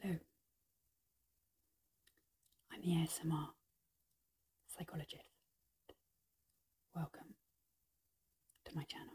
Hello, I'm the ASMR psychologist. Welcome to my channel.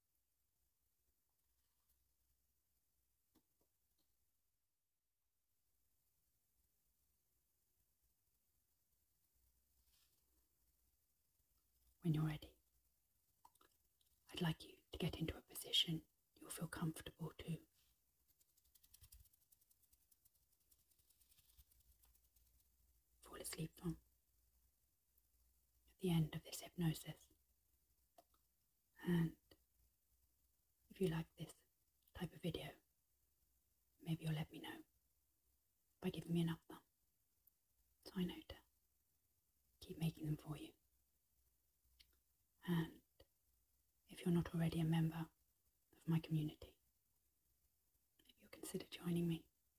When you're ready, I'd like you to get into a position you'll feel comfortable to. Fall asleep from at the end of this hypnosis. And if you like this type of video, maybe you'll let me know by giving me an up thumb so keep making them for you. And if you're not already a member of my community, you'll consider joining me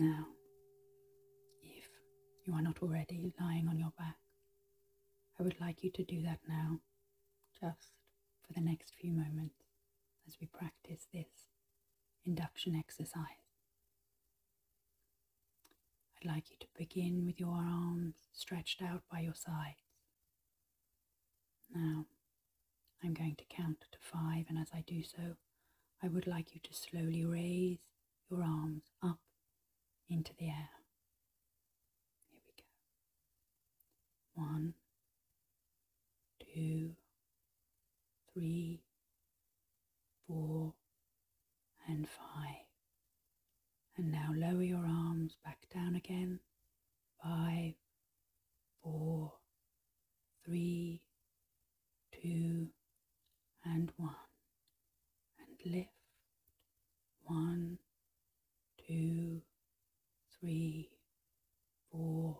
Now, if you are not already lying on your back, I would like you to do that now, just for the next few moments as we practice this induction exercise. I'd like you to begin with your arms stretched out by your sides. Now, I'm going to count to five, and as I do so, I would like you to slowly raise your arms up into the air. Here we go. One, two, three, four, and five. And now lower your arms back down again. Five, four, three, two, and one. And lift. One, two, three, four,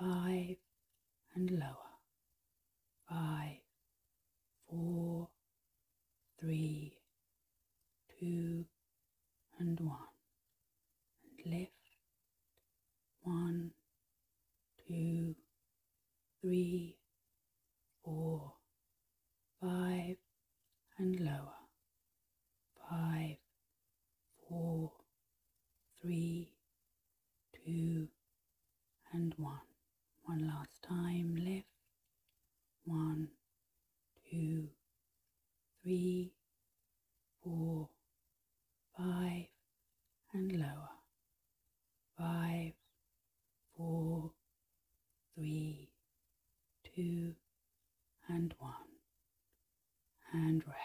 five, and lower. Five, four, three, two, and one, and lift, one, two, three, four, five, and lower, five, four, three, two, and one. One last time, lift, one, two, three, four, five, and lower. Five, four, three, two, and one, and rest.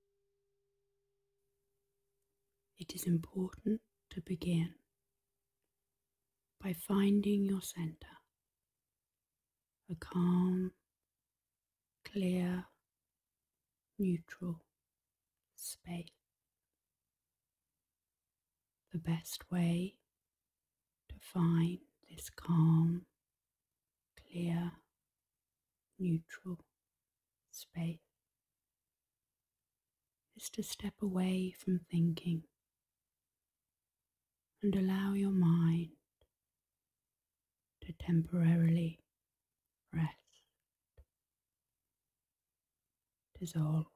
It is important to begin by finding your center, a calm, clear, neutral space. The best way to find this calm, clear, neutral space is to step away from thinking and allow your mind to temporarily rest, dissolve.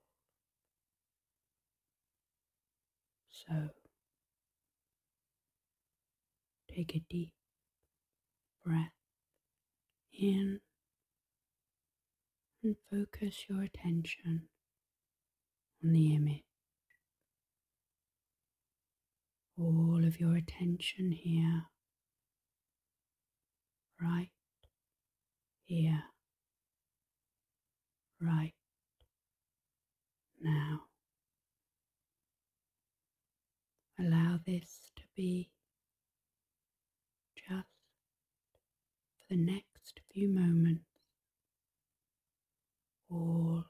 So Take a deep breath in and focus your attention on the image. All of your attention here, right here, right now. Allow this to be just for the next few moments, all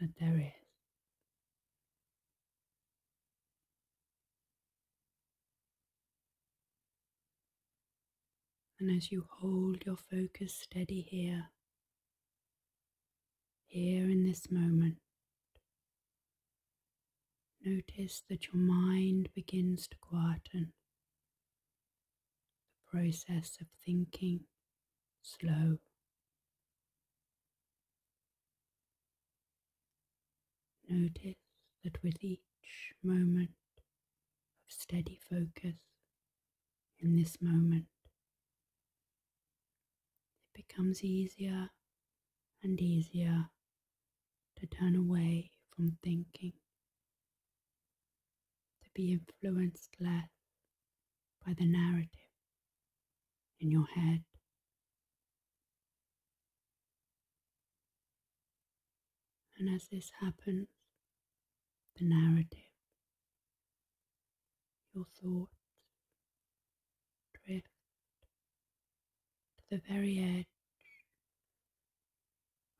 that there is. And as you hold your focus steady here, here in this moment. Notice that your mind begins to quieten, the process of thinking slow. Notice that with each moment of steady focus in this moment, it becomes easier and easier to turn away from thinking, to be influenced less by the narrative in your head. And as this happens, the narrative your thoughts drift to the very edge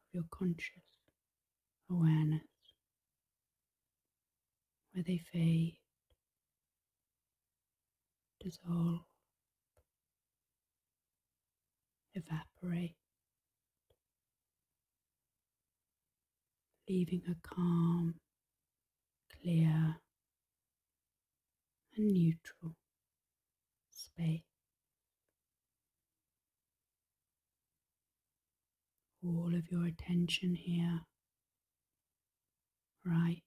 of your conscious awareness, where they fade, dissolve, evaporate leaving a calm, clear, and neutral space. All of your attention here, right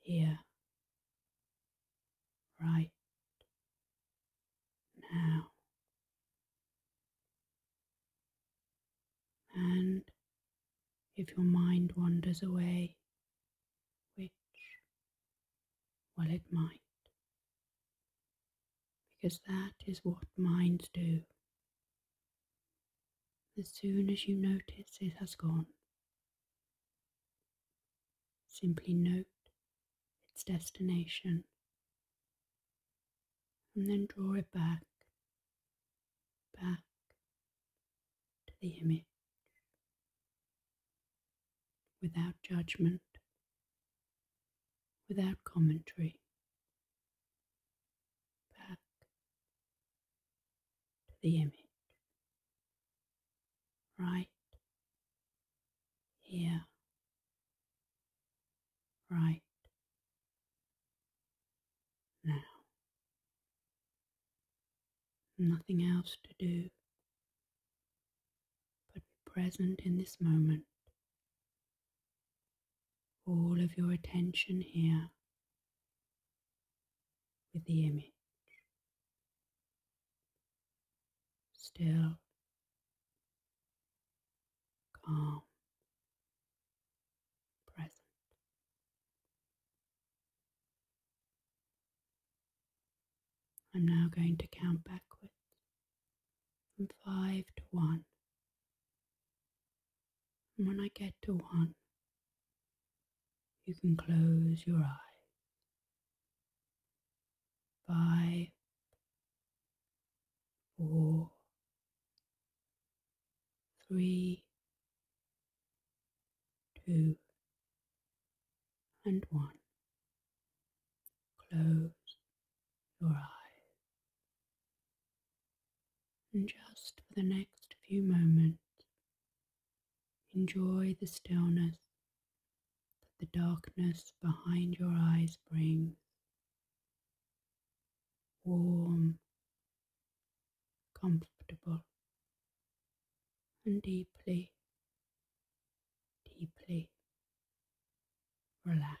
here, right now. And if your mind wanders away, which, well, it might, because that is what minds do. As soon as you notice it has gone, simply note its destination and then draw it back back to the image without judgment, without commentary, back to the image right here right now. Nothing else to do but be present in this moment. All of your attention here with the image. Still, calm present I'm now going to count backwards from five to one. And when I get to one, you can close your eyes. Five, four, three, two, and one. Close your eyes. And just for the next few moments, enjoy the stillness that the darkness behind your eyes brings. Warm comfortable, and deeply, deeply relaxed.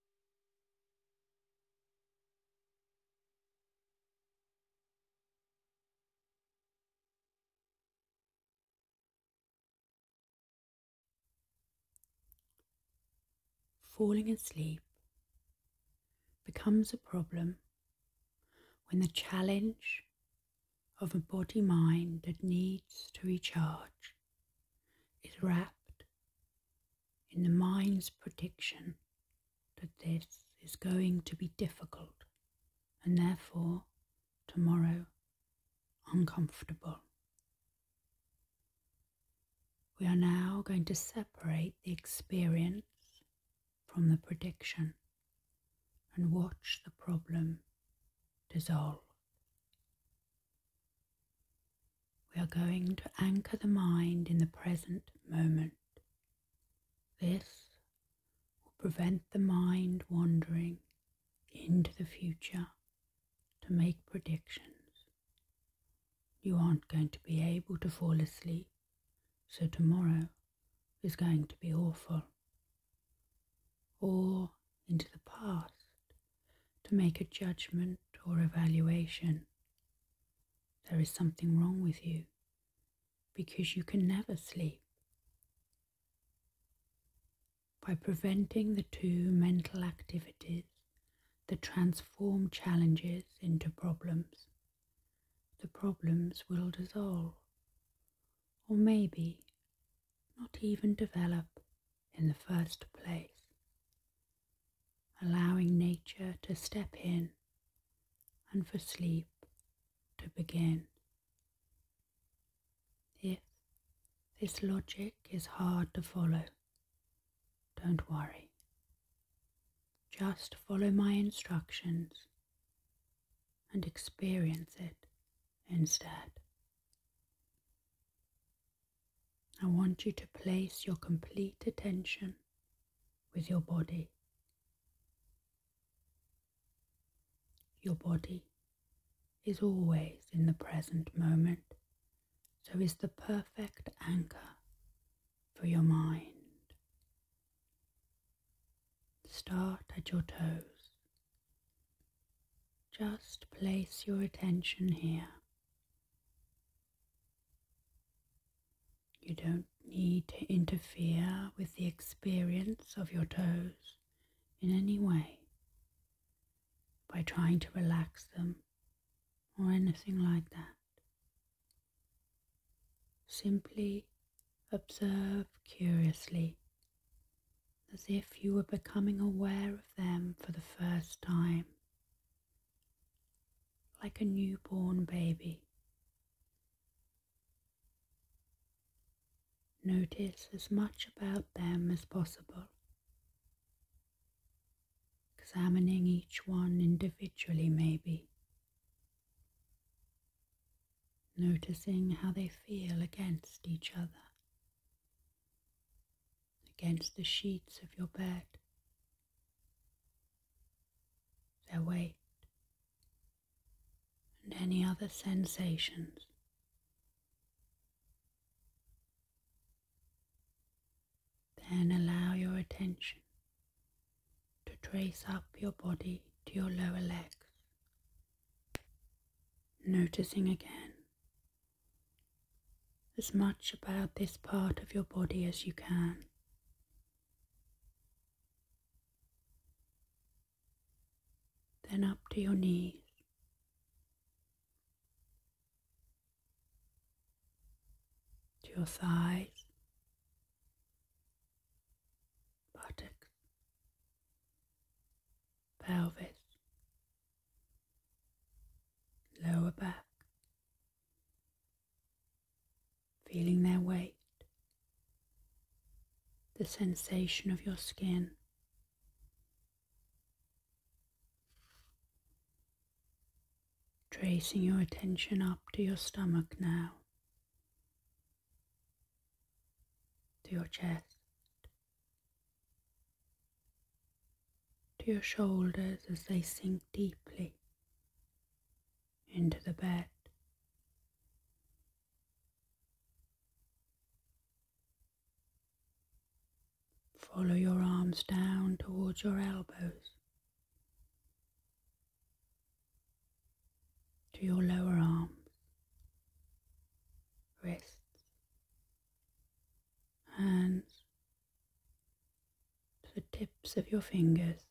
falling asleep becomes a problem when the challenge of a body mind that needs to recharge is wrapped in the mind's prediction that this is going to be difficult and therefore tomorrow uncomfortable. We are now going to separate the experience from the prediction and watch the problem dissolve. We are going to anchor the mind in the present moment. This will prevent the mind wandering into the future to make predictions. You aren't going to be able to fall asleep, so tomorrow is going to be awful. Or into the past to make a judgment or evaluation. There is something wrong with you because you can never sleep. By preventing the two mental activities that transform challenges into problems, the problems will dissolve, or maybe not even develop in the first place, allowing nature to step in and for sleep to begin. Yes, this logic is hard to follow, don't worry. Just follow my instructions and experience it instead. I want you to place your complete attention with your body. Your body is always in the present moment, so is the perfect anchor for your mind. Start at your toes. Just place your attention here. You don't need to interfere with the experience of your toes in any way by trying to relax them or anything like that. Simply observe curiously as if you were becoming aware of them for the first time like a newborn baby. Notice as much about them as possible, examining each one individually, maybe. Noticing how they feel against each other against the sheets of your bed. Their weight and any other sensations. Then allow your attention to trace up your body to your lower legs, noticing again as much about this part of your body as you can. Then up to your knees. To your thighs, buttocks, pelvis, lower back, feeling their weight, the sensation of your skin. Tracing your attention up to your stomach now, to your chest, to your shoulders as they sink deeply into the bed. Follow your arms down towards your elbows, to your lower arms, wrists, hands, to the tips of your fingers,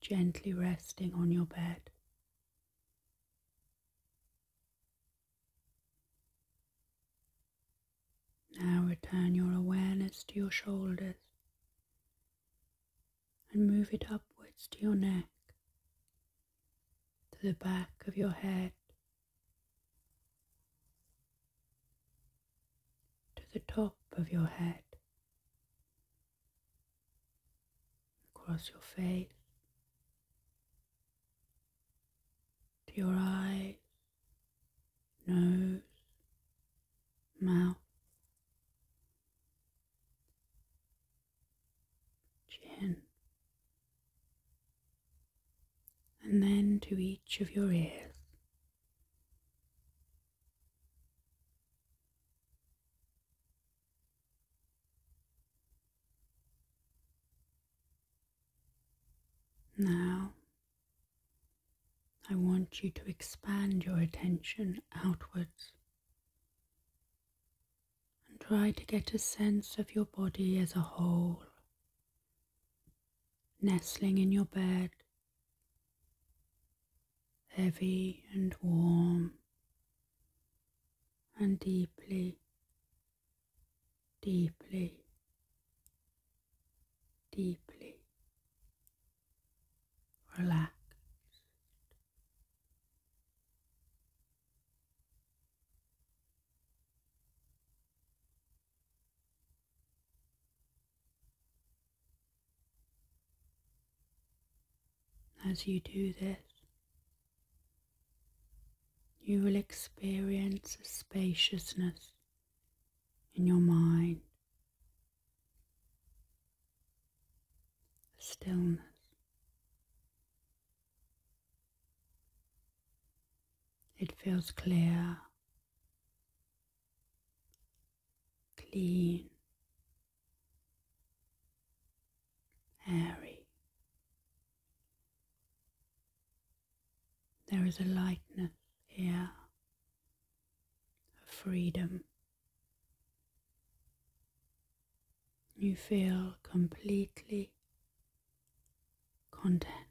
gently resting on your bed. Now return your awareness to your shoulders and move it upwards to your neck, to the back of your head, to the top of your head, across your face, to your eyes, nose, mouth, chin, and then to each of your ears. Now, I want you to expand your attention outwards and try to get a sense of your body as a whole nestling in your bed, heavy and warm and deeply, deeply, deeply relaxed. As you do this, you will experience a spaciousness in your mind, a stillness. It feels clear clean, airy. There is a lightness here, a freedom. You feel completely content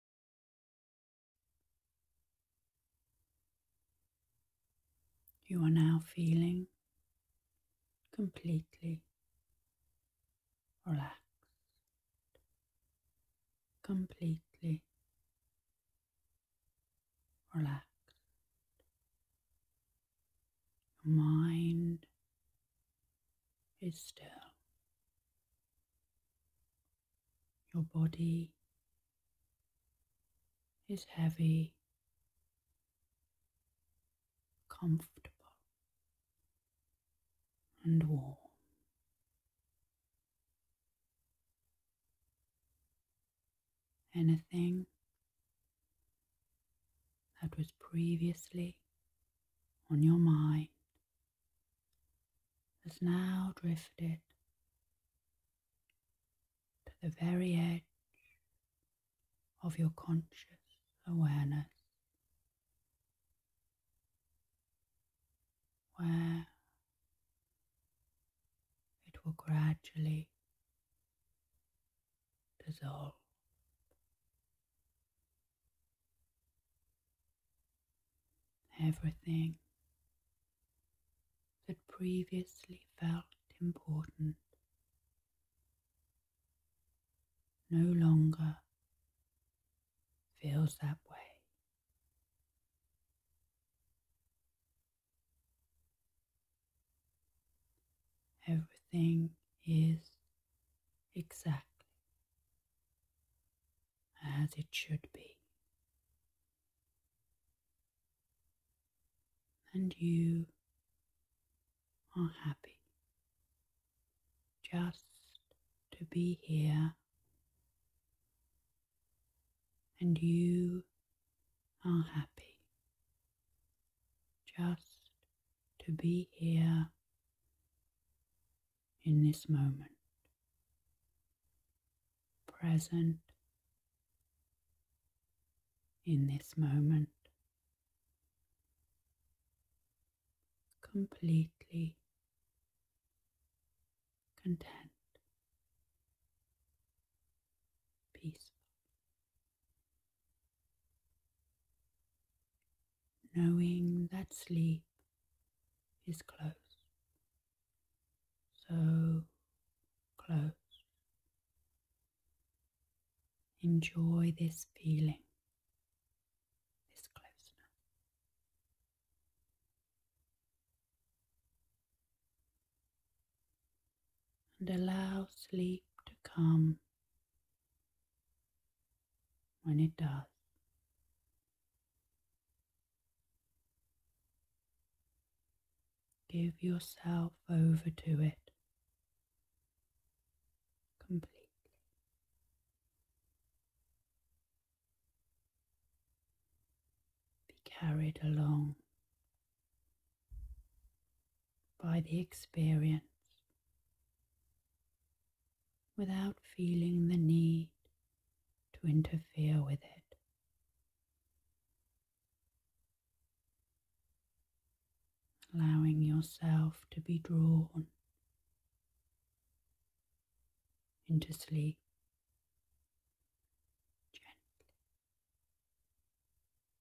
You are now feeling completely relaxed, completely relaxed. Your mind is still. Your body is heavy, comfortable, and warm. Anything that was previously on your mind has now drifted to the very edge of your conscious awareness, where it will gradually dissolve. Everything that previously felt important no longer feels that way. Everything is exact as it should be. And you are happy just to be here, and you are happy just to be here in this moment present in this moment, completely content, peaceful. Knowing that sleep is close so close. Enjoy this feeling, this closeness. And allow sleep to come when it does. Give yourself over to it completely. Be carried along by the experience without feeling the need to interfere with it allowing yourself to be drawn into sleep gently,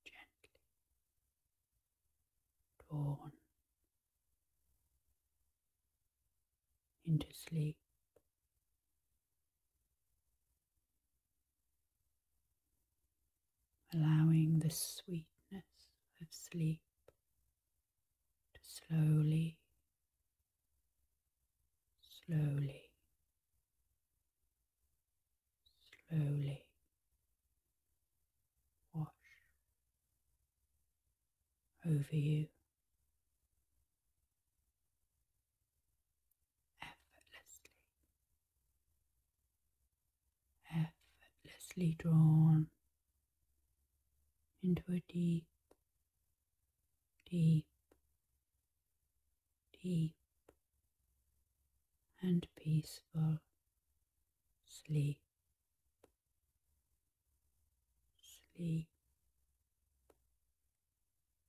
gently, drawn into sleep allowing the sweetness of sleep to slowly, slowly, slowly wash over you effortlessly, effortlessly drawn into a deep, deep, deep and peaceful sleep, sleep,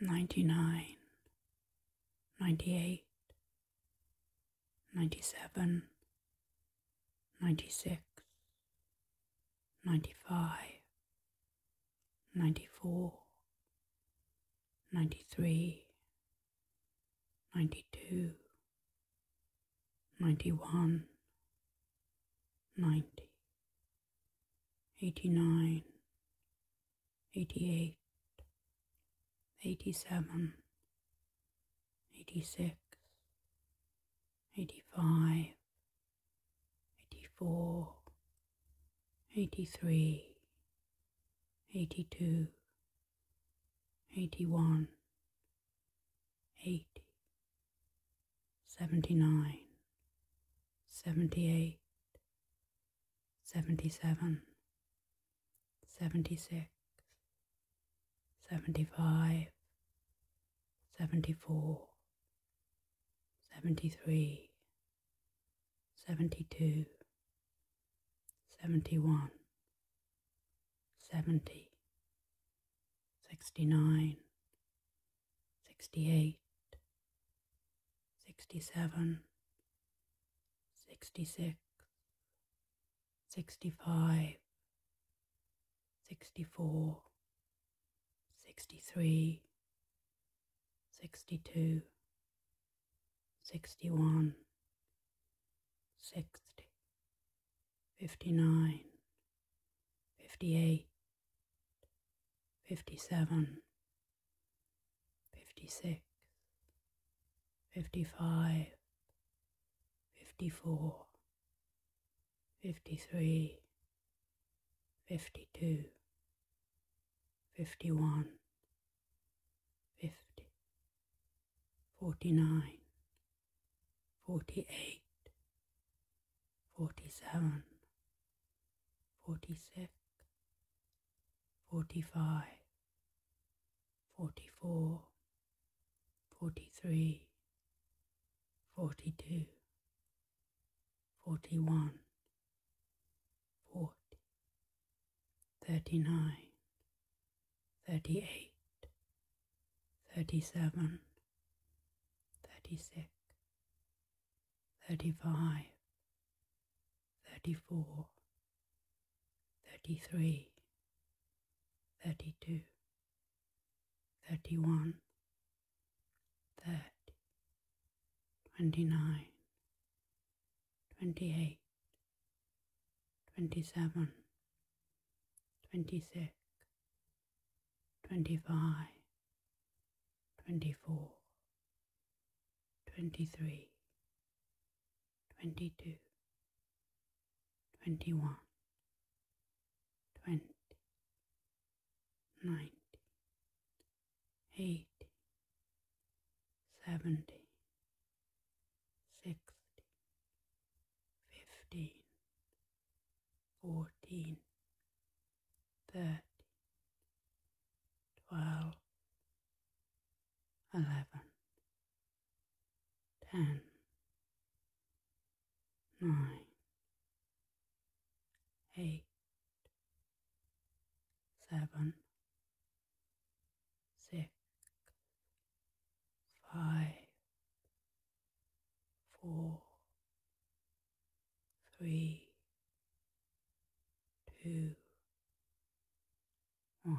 Ninety nine, ninety eight, ninety seven, ninety six, ninety five, 94, 93, 92, 91, 90, 89, 88, 87, 86, 85, 84 83 82 81 80 79 78 77 76 75 74 73 72 71 70 69 68 67 66 65 64 63 62 61 60 59 58 57 56 55 54 53 fifty two, fifty one, fifty, forty nine, forty eight, forty seven, forty six, forty five, forty four, forty three, forty two, forty one, forty, thirty nine, thirty eight, thirty seven, thirty six, thirty five, thirty four, thirty three, thirty two, thirty one, thirty twenty-nine, twenty-eight, twenty-seven, twenty-six, twenty-five, twenty-four, twenty-three, twenty-two, twenty-one, twenty, nineteen, eighty, seventy, sixty, fifteen, fourteen, thirteen, twelve, eleven, ten, nine, eight seven, six, five, four, three, two, one.